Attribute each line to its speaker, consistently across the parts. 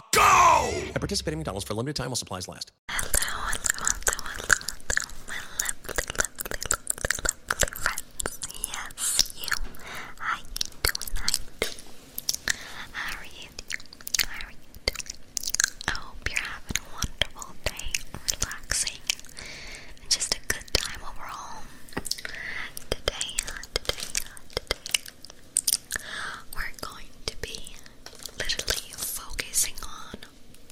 Speaker 1: America, go! participate in McDonald's for a limited time while supplies last. Yes, you. How you doing? How are you How are you
Speaker 2: I hope you're having a wonderful day, relaxing, just a good time overall. Today, today, today, we're going to be literally focusing on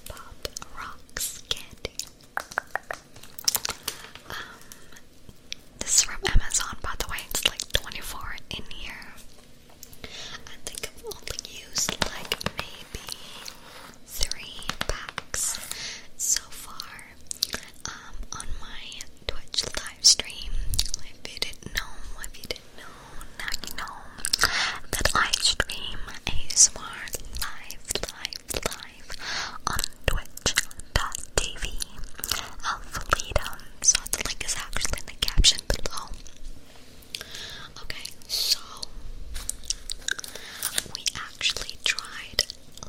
Speaker 2: Pop Rocks candy. Um, this is from Amazon, by the way. It's like 24 in here. I think I've only used like maybe three packs so far. Um, on my Twitch live If you didn't know, if you didn't know, now you know that I stream ASMR live, live, live on twitch.tv. Alphalita. So the link is actually in the caption below. Okay, so we actually tried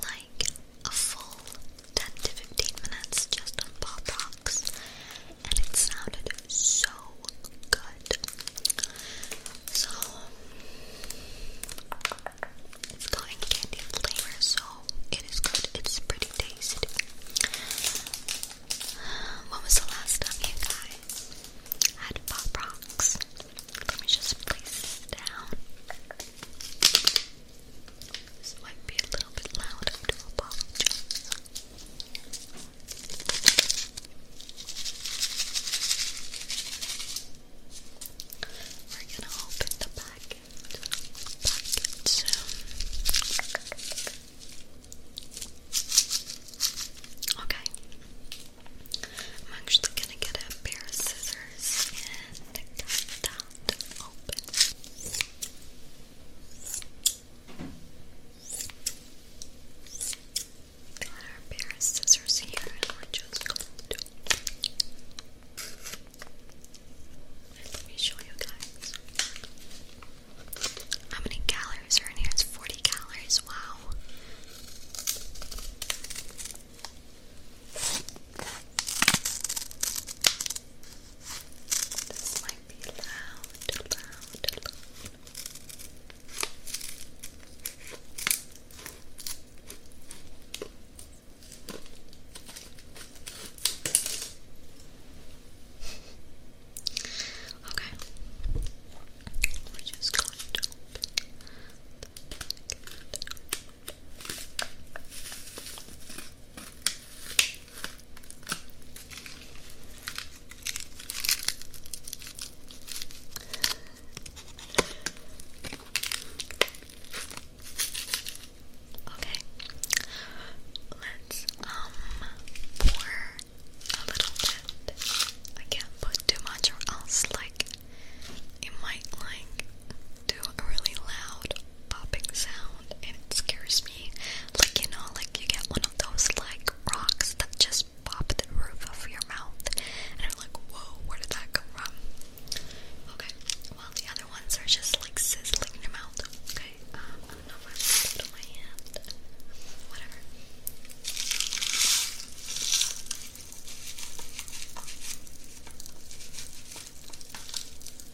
Speaker 2: like a full 10 to 15 minutes just on Pop Rocks, and it sounded so good. So, it's going candy flavor, so it is good. It's pretty tasty. When was the last time you guys had Pop Rocks? Let me just place this down. This might be a little bit loud, I do apologize. We're gonna open the packet, Okay. I'm actually gonna get a pair of scissors and cut that open our pair of scissors here, and we're just going to. let me show you guys. How many calories are in here? It's 40 calories. Wow. This might be loud, loud, loud. Okay, we're just going to open the Okay, let's um pour a little bit. I can't put too much, or else like it might like do a really loud popping sound and it scares me. Like, you know, like you get one of those like rocks that just pop the roof of your mouth and I'm like, whoa, where did that come from? Okay, well, the other ones are just like sizzling in your mouth. Okay, um, I don't know if I put it on my hand. Whatever.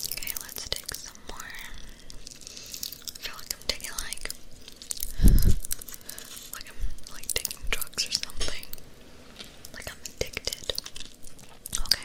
Speaker 2: Okay, let's take some more. I feel like I'm taking like like I'm like taking drugs or something. Like I'm addicted. Okay.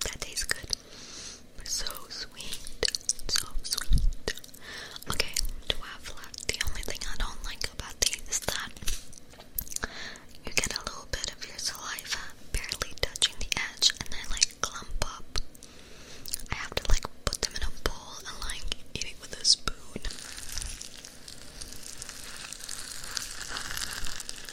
Speaker 2: That tastes good. So sweet. So sweet. Okay, twelve left. The only thing I don't like about these is that you get a little bit of your saliva barely touching the edge and they like clump up. I have to like put them in a bowl and like eat it with a spoon.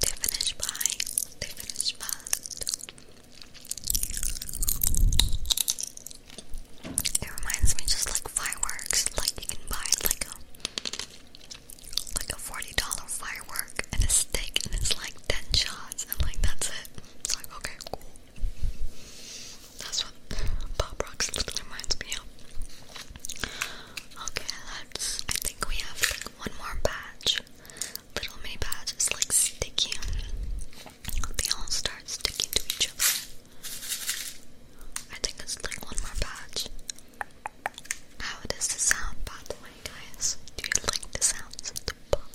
Speaker 2: They finish by. They finish fast. It reminds me just like fireworks. Like you can buy like a like a forty dollar firework and a stick, and it's like ten shots, and like that's it. It's like okay, cool. That's what pop rocks literally reminds me of. Okay, let I think we have like one more patch. Little May Patch is like sticky. They all start sticking to each other. I think it's like one more patch. How does the sound, by the way, guys? Do you like the sounds of the pop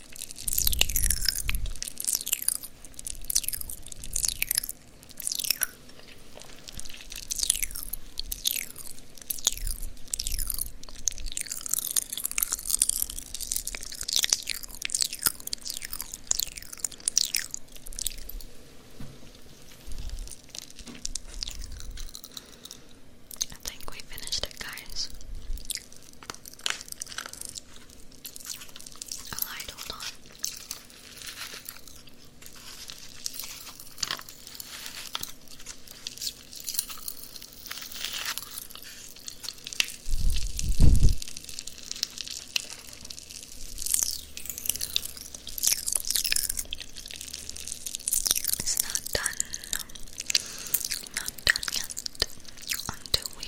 Speaker 2: I think we finished it, guys. Alright, hold on. It's not done. Not done yet. Until we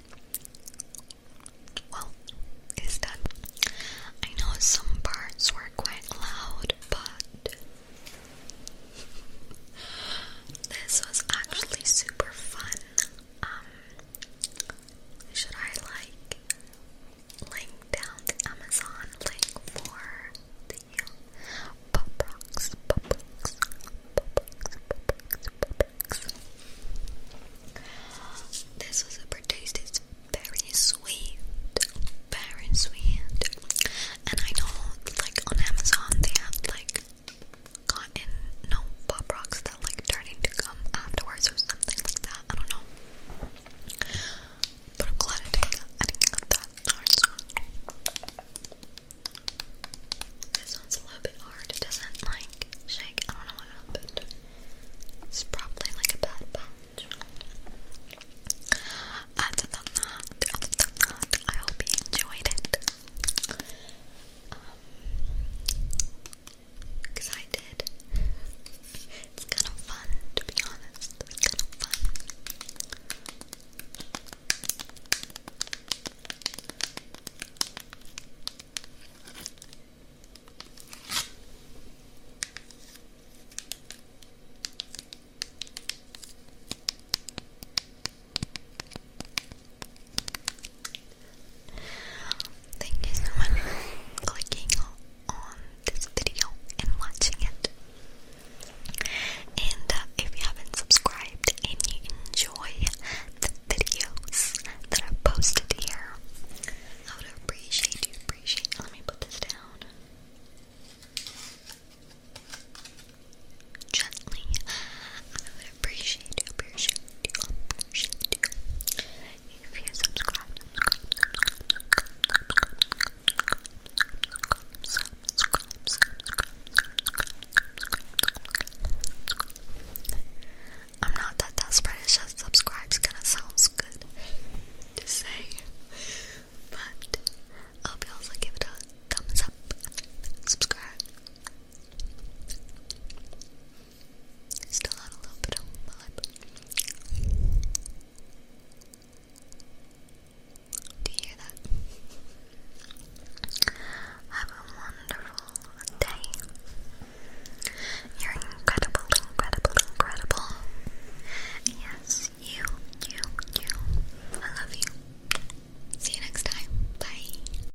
Speaker 2: Well, it's done. I know some parts were quite loud, but this was actually super fun. Um, should I like link down the Amazon link for the pop rocks, uh, pop rocks, pop rocks, pop rocks, this was super tasty. It's very sweet, very sweet. And I know, like on Amazon, they have like cotton, no pop rocks that like turn into gum afterwards or something like that. I don't know. But I'm glad I didn't I didn't get that. This one's a little bit hard. It doesn't like shake. I don't know what happened. It's probably like a bad batch. Other than that, other than that, I hope you enjoyed it. Because um, I did. It's kind of fun, to be honest. It's kind of fun. Thank you so much for clicking on this video and watching it. And uh, if you haven't subscribed and you enjoy videos that i posted here. I would appreciate you appreciate. Let me put this down. Gently. I would appreciate you, appreciate you, appreciate you. If you subscribe I'm not that desperate, it's just subscribe's gonna sounds good to say. But I hope you also give it a thumbs up, subscribe. Still on a little bit on my Do you hear that? Have a wonderful day. You're incredible, incredible, incredible. Yes, you, you, you. I love you. See you next time. Bye.